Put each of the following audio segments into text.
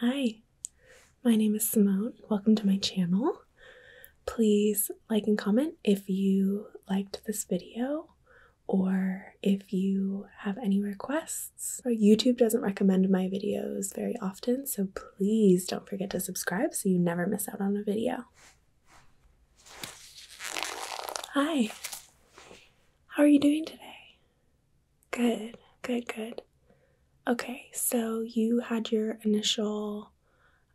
Hi, my name is Simone. Welcome to my channel. Please like and comment if you liked this video or if you have any requests. YouTube doesn't recommend my videos very often, so please don't forget to subscribe so you never miss out on a video. Hi, how are you doing today? Good, good, good. Okay, so you had your initial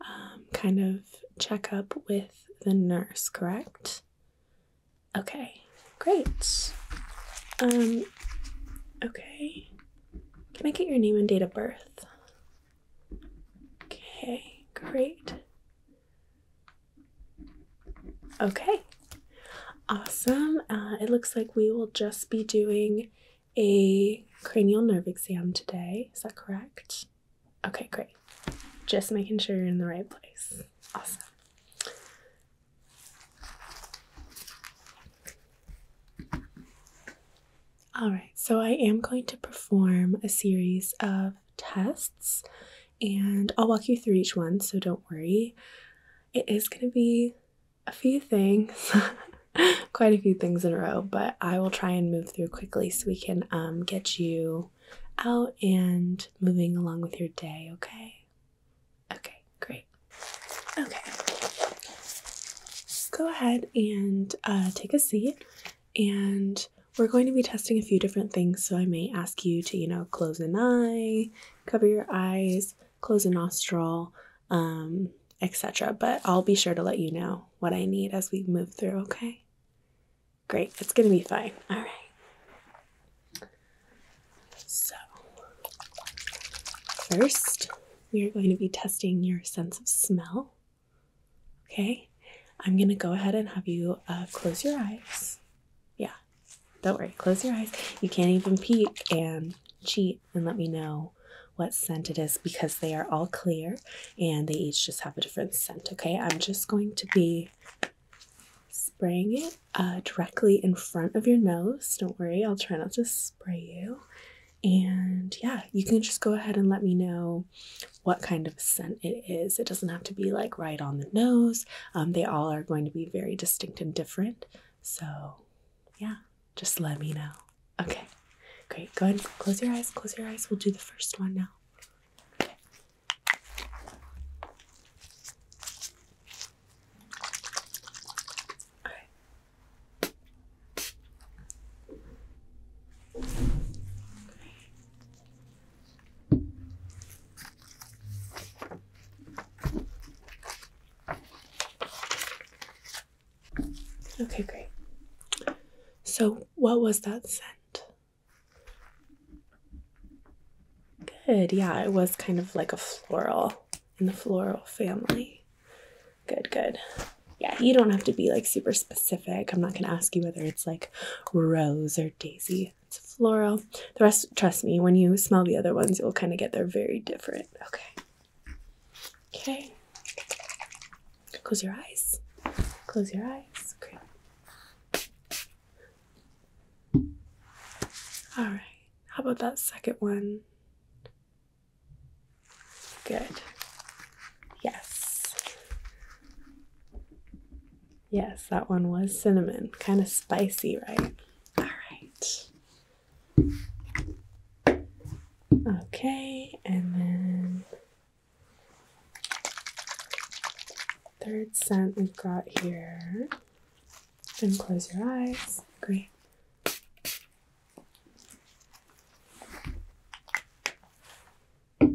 um, kind of checkup with the nurse, correct? Okay, great. Um, okay. Can I get your name and date of birth? Okay, great. Okay, awesome. Uh, it looks like we will just be doing a cranial nerve exam today. Is that correct? Okay, great. Just making sure you're in the right place. Awesome. All right, so I am going to perform a series of tests and I'll walk you through each one, so don't worry. It is going to be a few things, quite a few things in a row, but I will try and move through quickly so we can um, get you out and moving along with your day, okay? Okay, great. Okay. Go ahead and uh, take a seat, and we're going to be testing a few different things, so I may ask you to, you know, close an eye, cover your eyes, close a nostril, um, etc. But I'll be sure to let you know what I need as we move through, okay? Great, it's gonna be fine. All right. So, first, we are going to be testing your sense of smell. Okay, I'm gonna go ahead and have you uh, close your eyes. Yeah, don't worry, close your eyes. You can't even peek and cheat and let me know what scent it is because they are all clear and they each just have a different scent. Okay, I'm just going to be spraying it uh, directly in front of your nose. Don't worry, I'll try not to spray you. And yeah, you can just go ahead and let me know what kind of scent it is. It doesn't have to be like right on the nose, um, they all are going to be very distinct and different. So, yeah, just let me know. Okay, great. Go ahead close your eyes. Close your eyes. We'll do the first one now. Okay. Okay, great. So, what was that scent? Good, yeah, it was kind of like a floral in the floral family. Good, good. Yeah, you don't have to be like super specific. I'm not going to ask you whether it's like rose or daisy. It's floral. The rest, trust me, when you smell the other ones, you'll kind of get they're very different. Okay. Okay. Close your eyes. Close your eyes. Great. All right. How about that second one? Good. Yes. Yes, that one was cinnamon. Kind of spicy, right? All right. Okay, and then third scent we've got here. And close your eyes. Great. All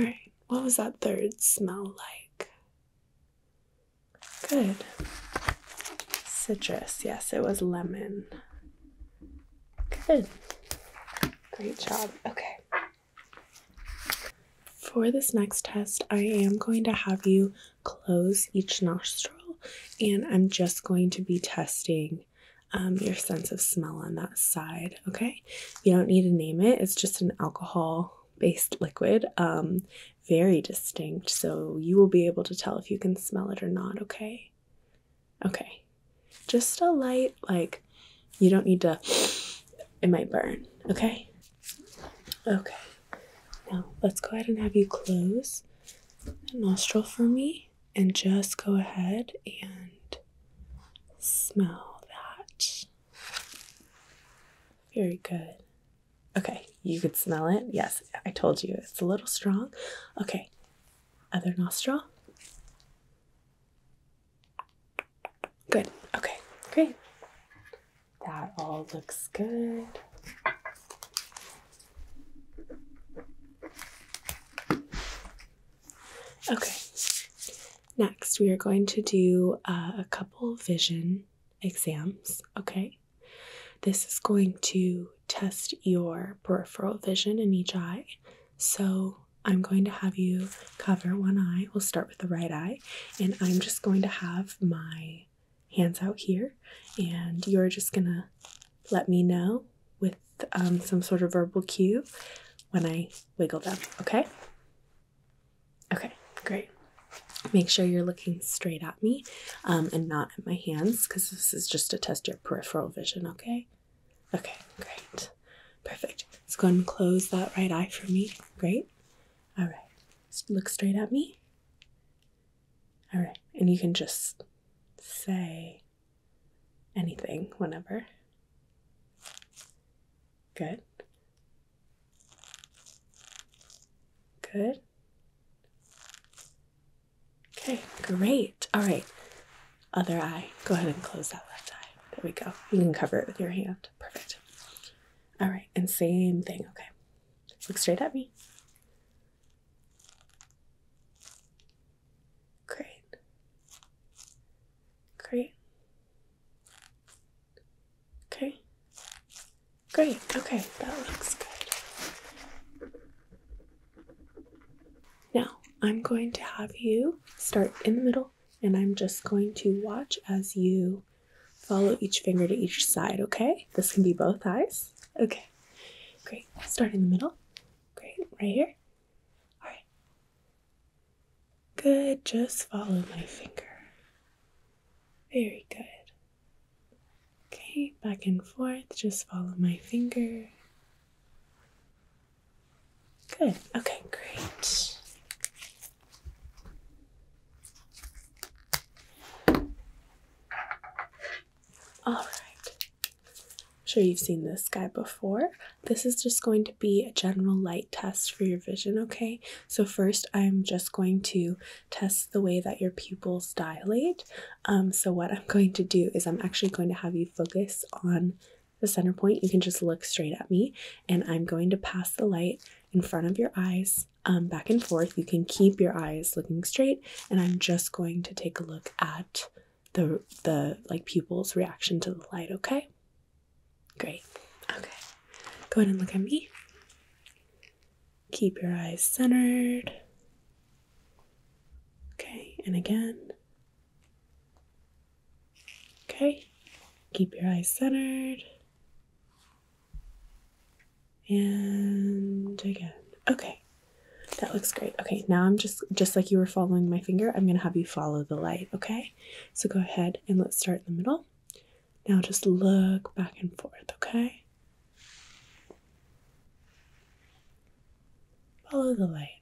right, what was that third smell like? Good. Citrus, yes, it was lemon. Good. Great job. Okay. For this next test, I am going to have you close each nostril and I'm just going to be testing um, your sense of smell on that side, okay? You don't need to name it, it's just an alcohol based liquid. Um, very distinct, so you will be able to tell if you can smell it or not, okay? Okay, just a light, like you don't need to, it might burn, okay? Okay, now let's go ahead and have you close the nostril for me and just go ahead and Smell that. Very good. Okay, you could smell it. Yes, I told you it's a little strong. Okay, other nostril. Good. Okay, great. That all looks good. Okay, Next, we are going to do uh, a couple vision exams, okay? This is going to test your peripheral vision in each eye. So, I'm going to have you cover one eye. We'll start with the right eye, and I'm just going to have my hands out here, and you're just gonna let me know with um, some sort of verbal cue when I wiggle them, okay? Okay, great. Make sure you're looking straight at me um, and not at my hands because this is just to test your peripheral vision, okay? Okay, great. Perfect. Let's go and close that right eye for me. Great. All right. look straight at me. All right. And you can just say, anything whenever. Good. Good. Okay, great. All right. Other eye. Go ahead and close that left eye. There we go. You can cover it with your hand. Perfect. All right, and same thing. Okay. Look straight at me. Great. Great. Okay. Great. Okay, that looks good. Now, I'm going to have you start in the middle and I'm just going to watch as you follow each finger to each side, okay? This can be both eyes. Okay. Great. Start in the middle. Great. Right here. All right. Good, just follow my finger. Very good. Okay, back and forth, just follow my finger. Good, okay, great. All right, I'm sure you've seen this guy before. This is just going to be a general light test for your vision, okay? So first I'm just going to test the way that your pupils dilate. Um, so what I'm going to do is I'm actually going to have you focus on the center point. You can just look straight at me and I'm going to pass the light in front of your eyes um, back and forth. You can keep your eyes looking straight and I'm just going to take a look at the the like pupils reaction to the light okay great okay go ahead and look at me keep your eyes centered okay and again okay keep your eyes centered and again okay that looks great. Okay, now I'm just just like you were following my finger, I'm gonna have you follow the light, okay? So go ahead and let's start in the middle. Now just look back and forth, okay? Follow the light.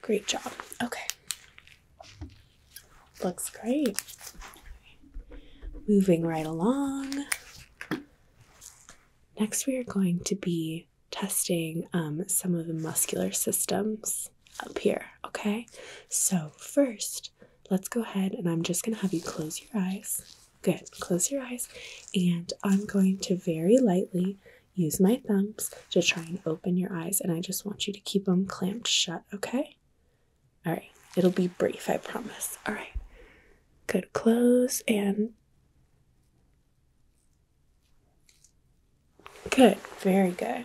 Great job. Okay. Looks great. Moving right along. Next, we are going to be testing um, some of the muscular systems up here, okay? So, first, let's go ahead and I'm just going to have you close your eyes. Good, close your eyes, and I'm going to very lightly use my thumbs to try and open your eyes, and I just want you to keep them clamped shut, okay? All right, it'll be brief, I promise. All right, good, close and Good, very good.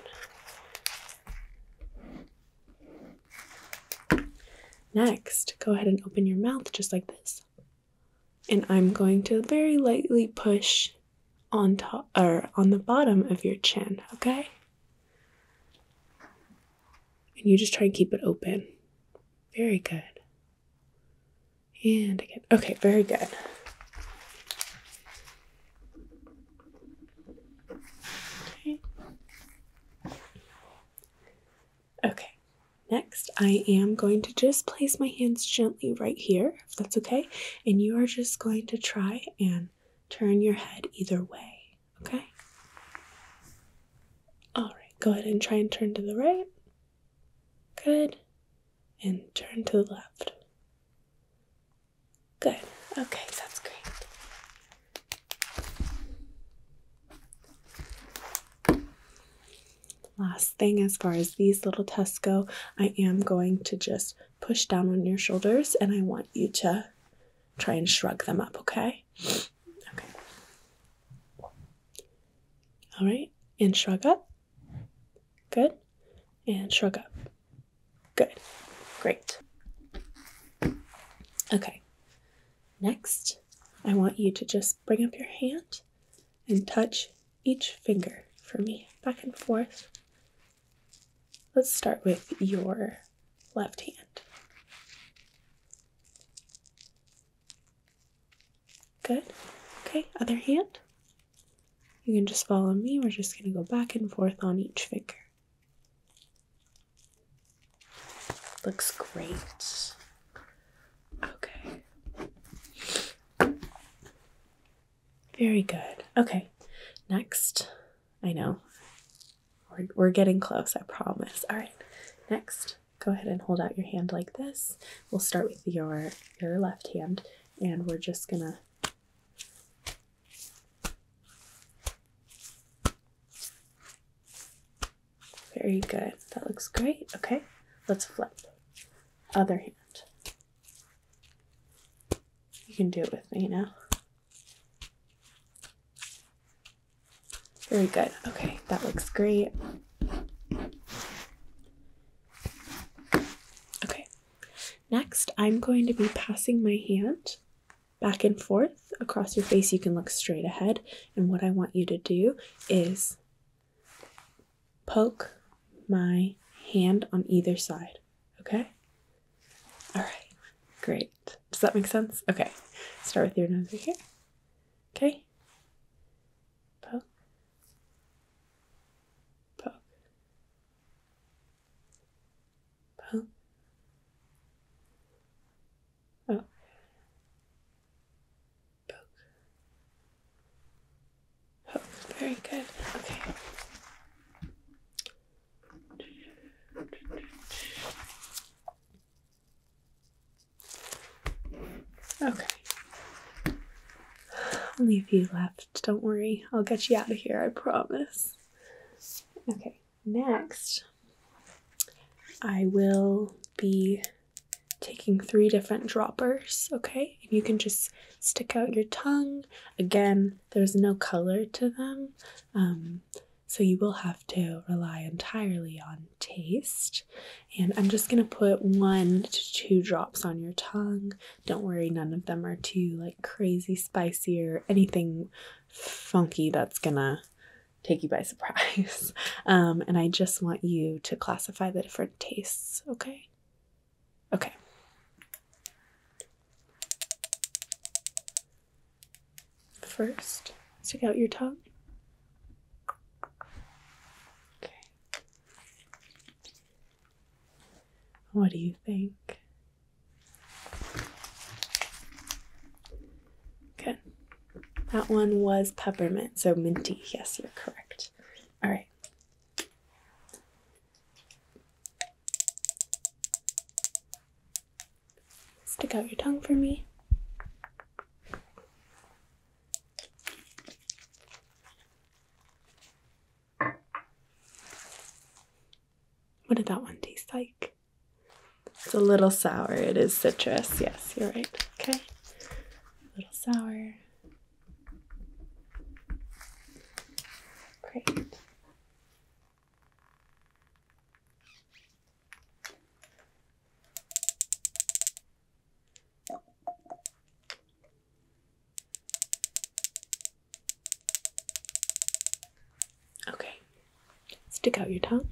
Next, go ahead and open your mouth just like this. And I'm going to very lightly push on top or on the bottom of your chin, okay? And you just try and keep it open. Very good. And again. Okay, very good. Okay. Next, I am going to just place my hands gently right here, if that's okay. And you are just going to try and turn your head either way, okay? All right, go ahead and try and turn to the right. Good. And turn to the left. Good. Okay, that's great. Last thing, as far as these little tests go, I am going to just push down on your shoulders and I want you to try and shrug them up, okay? Okay. All right. And shrug up. Good. And shrug up. Good. Great. Okay. Next, I want you to just bring up your hand and touch each finger for me back and forth. Let's start with your left hand. Good. Okay, other hand. You can just follow me. We're just going to go back and forth on each finger. Looks great. Okay. Very good. Okay, next. I know. We're, we're getting close, I promise. All right, next go ahead and hold out your hand like this. We'll start with your your left hand and we're just going to Very good. That looks great. Okay. Let's flip. Other hand. You can do it with me now. Very good. Okay, that looks great. Okay, next I'm going to be passing my hand back and forth across your face. You can look straight ahead, and what I want you to do is poke my hand on either side. Okay? All right, great. Does that make sense? Okay, start with your nose right here. Okay? Poke. Poke. Poke. Poke. Poke. Poke. Very good. Okay. Okay. Only a few left. Don't worry. I'll get you out of here, I promise. Okay, next, I will be taking three different droppers, okay? And you can just stick out your tongue. Again, there's no color to them, um, so you will have to rely entirely on taste. And I'm just going to put one to two drops on your tongue. Don't worry, none of them are too like crazy spicy or anything funky that's going to take you by surprise. Um, and I just want you to classify the different tastes, okay? Okay. First, stick out your top. Okay. What do you think? Good. That one was peppermint, so minty. Yes, you're correct. All right. Stick out your tongue for me. What did that one taste like? It's a little sour. It is citrus. Yes, you're right. Okay. A little sour. Great. Okay, stick out your tongue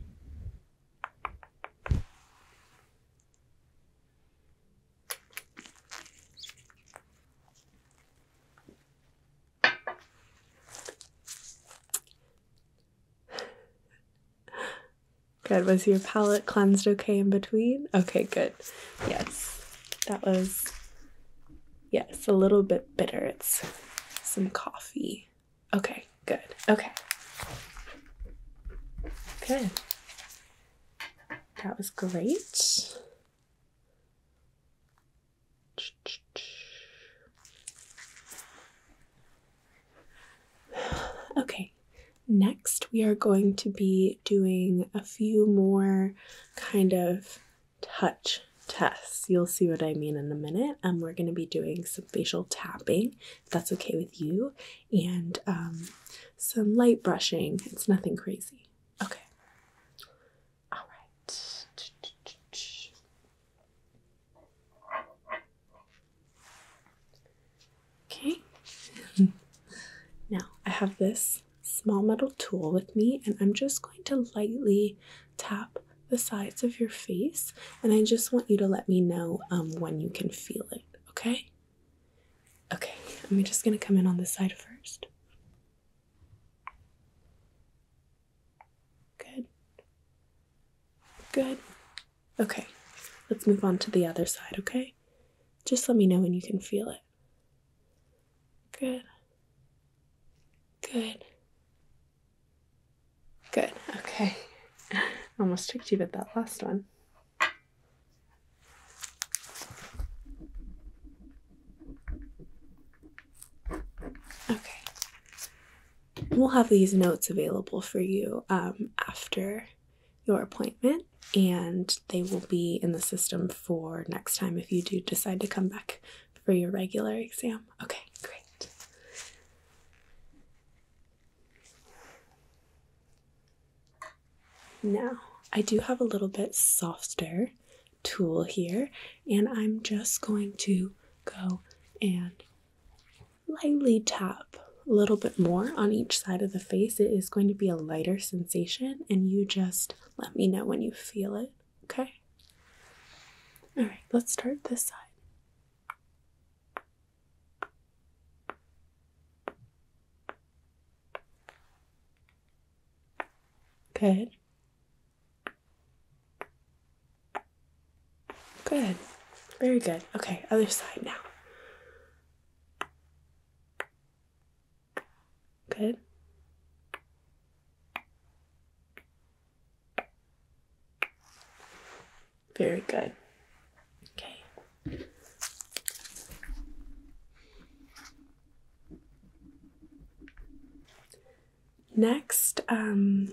good. Was your palate cleansed okay in between? Okay, good. Yes, that was. Yes, a little bit bitter. It's some coffee. Okay, good. Okay. Good. That was great. Okay, next we are going to be doing a few more kind of touch tests. You'll see what I mean in a minute. And um, we're going to be doing some facial tapping, that's okay with you, and um, some light brushing. It's nothing crazy. Okay. All right. Okay. now I have this small metal tool with me, and I'm just going to lightly tap the sides of your face. And I just want you to let me know um, when you can feel it, okay? Okay, I'm just going to come in on the side first. Good. Good. Okay, let's move on to the other side, okay? Just let me know when you can feel it. Good. Good. Good. Okay. Almost tricked you with that last one. Okay. We'll have these notes available for you um, after your appointment, and they will be in the system for next time if you do decide to come back for your regular exam. Okay, great. Now, I do have a little bit softer tool here and I'm just going to go and lightly tap a little bit more on each side of the face. It is going to be a lighter sensation and you just let me know when you feel it, okay? All right, let's start this side. Good. Good. Very good. Okay, other side now. Good. Very good. Okay next um,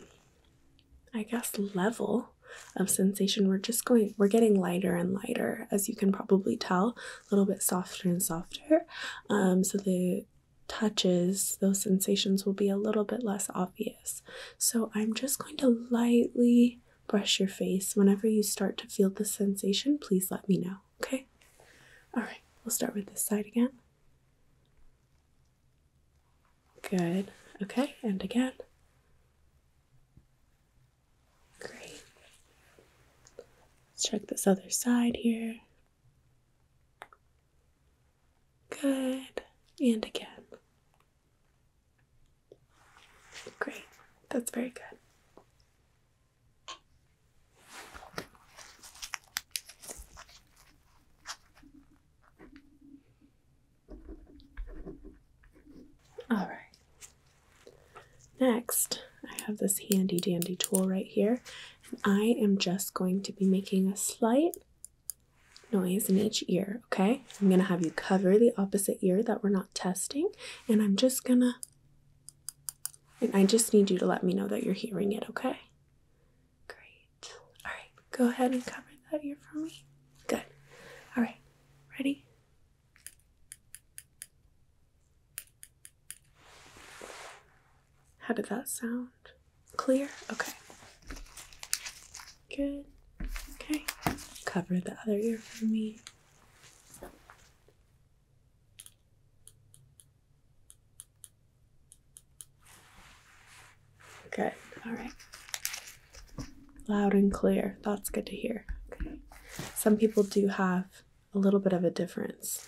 i guess level of sensation we're just going we're getting lighter and lighter as you can probably tell a little bit softer and softer um, so the touches those sensations will be a little bit less obvious so i'm just going to lightly brush your face whenever you start to feel the sensation please let me know okay all right we'll start with this side again Good. Okay, and again. Great. Let's check this other side here. Good. And again. Great. That's very good. All right. Next, I have this handy dandy tool right here, and I am just going to be making a slight noise in each ear, okay? I'm going to have you cover the opposite ear that we're not testing, and I'm just going to and I just need you to let me know that you're hearing it, okay? Great. All right, go ahead and cover that ear for me. Good. All right, ready? How did that sound? Clear? Okay. Good. Okay. Cover the other ear for me. Good. All right. Loud and clear. That's good to hear. Okay. Some people do have a little bit of a difference.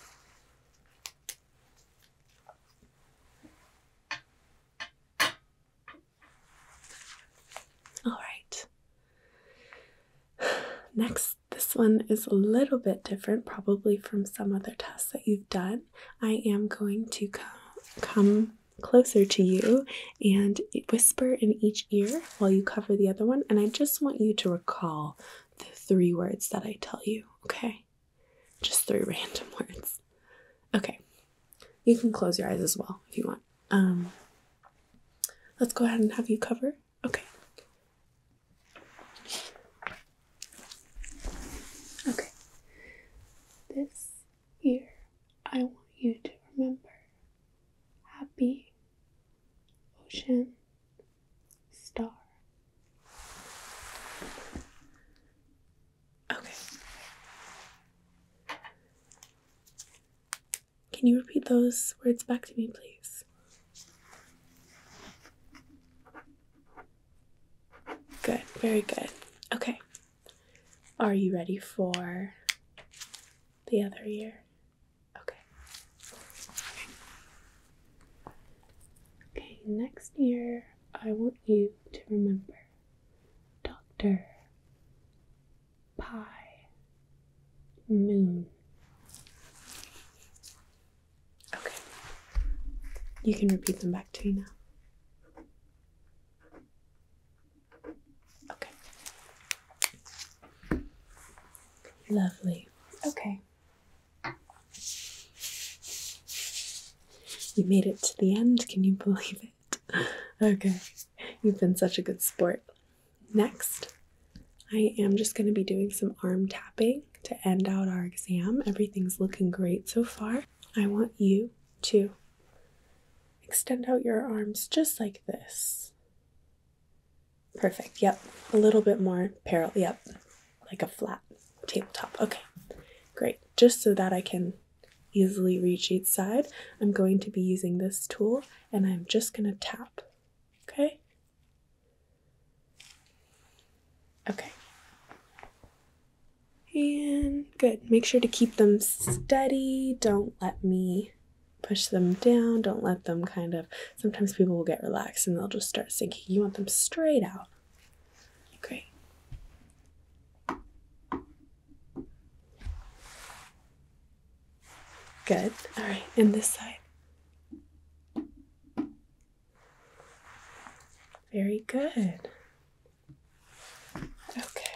All right. Next this one is a little bit different, probably from some other tests that you've done. I am going to come closer to you and whisper in each ear while you cover the other one, and I just want you to recall the three words that I tell you, okay? Just three random words. Okay, you can close your eyes as well if you want. Um, let's go ahead and have you cover. Okay. Okay. This year, I want you to remember happy, ocean, star. Okay. Can you repeat those words back to me, please? Good, very good. Okay. Are you ready for the other year? Okay. Okay, next year I want you to remember Doctor Pie Moon. Okay. You can repeat them back to me now. Okay. Lovely. Okay. You made it to the end. Can you believe it? Okay. You've been such a good sport. Next, I am just going to be doing some arm tapping to end out our exam. Everything's looking great so far. I want you to extend out your arms just like this. Perfect. Yep. A little bit more parallel. Yep. Like a flat tabletop. Okay. Great. Just so that I can easily reach each side, I'm going to be using this tool and I'm just going to tap. Okay? Okay. And good. Make sure to keep them steady. Don't let me push them down. Don't let them kind of. Sometimes people will get relaxed and they'll just start sinking. You want them straight out. Okay. Good. All right, and this side. Very good. Okay.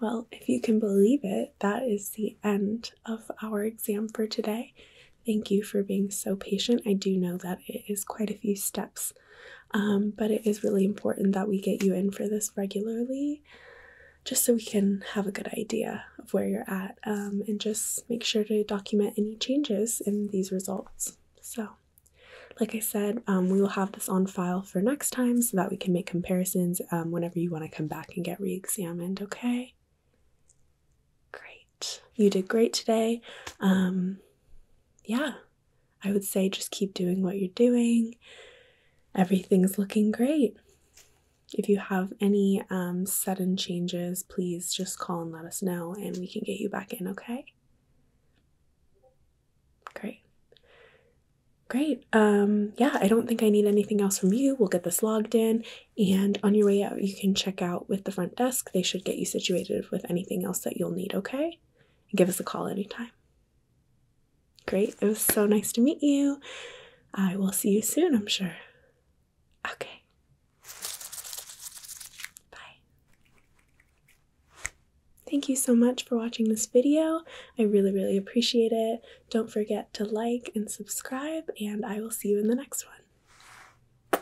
Well, if you can believe it, that is the end of our exam for today. Thank you for being so patient. I do know that it is quite a few steps um, but it is really important that we get you in for this regularly just so we can have a good idea of where you're at um, and just make sure to document any changes in these results. So, like I said, um, we will have this on file for next time so that we can make comparisons whenever you want to come back and get re examined, okay? Great. You did great today. yeah, I would say just keep doing what you're doing. Everything's looking great. If you have any um, sudden changes, please just call and let us know and we can get you back in, okay? Great. Great. Um, yeah, I don't think I need anything else from you. We'll get this logged in. And on your way out, you can check out with the front desk. They should get you situated with anything else that you'll need, okay? give us a call anytime. Great. It was so nice to meet you. I will see you soon, I'm sure. Okay. Bye. Thank you so much for watching this video. I really, really appreciate it. Don't forget to like and subscribe, and I will see you in the next one.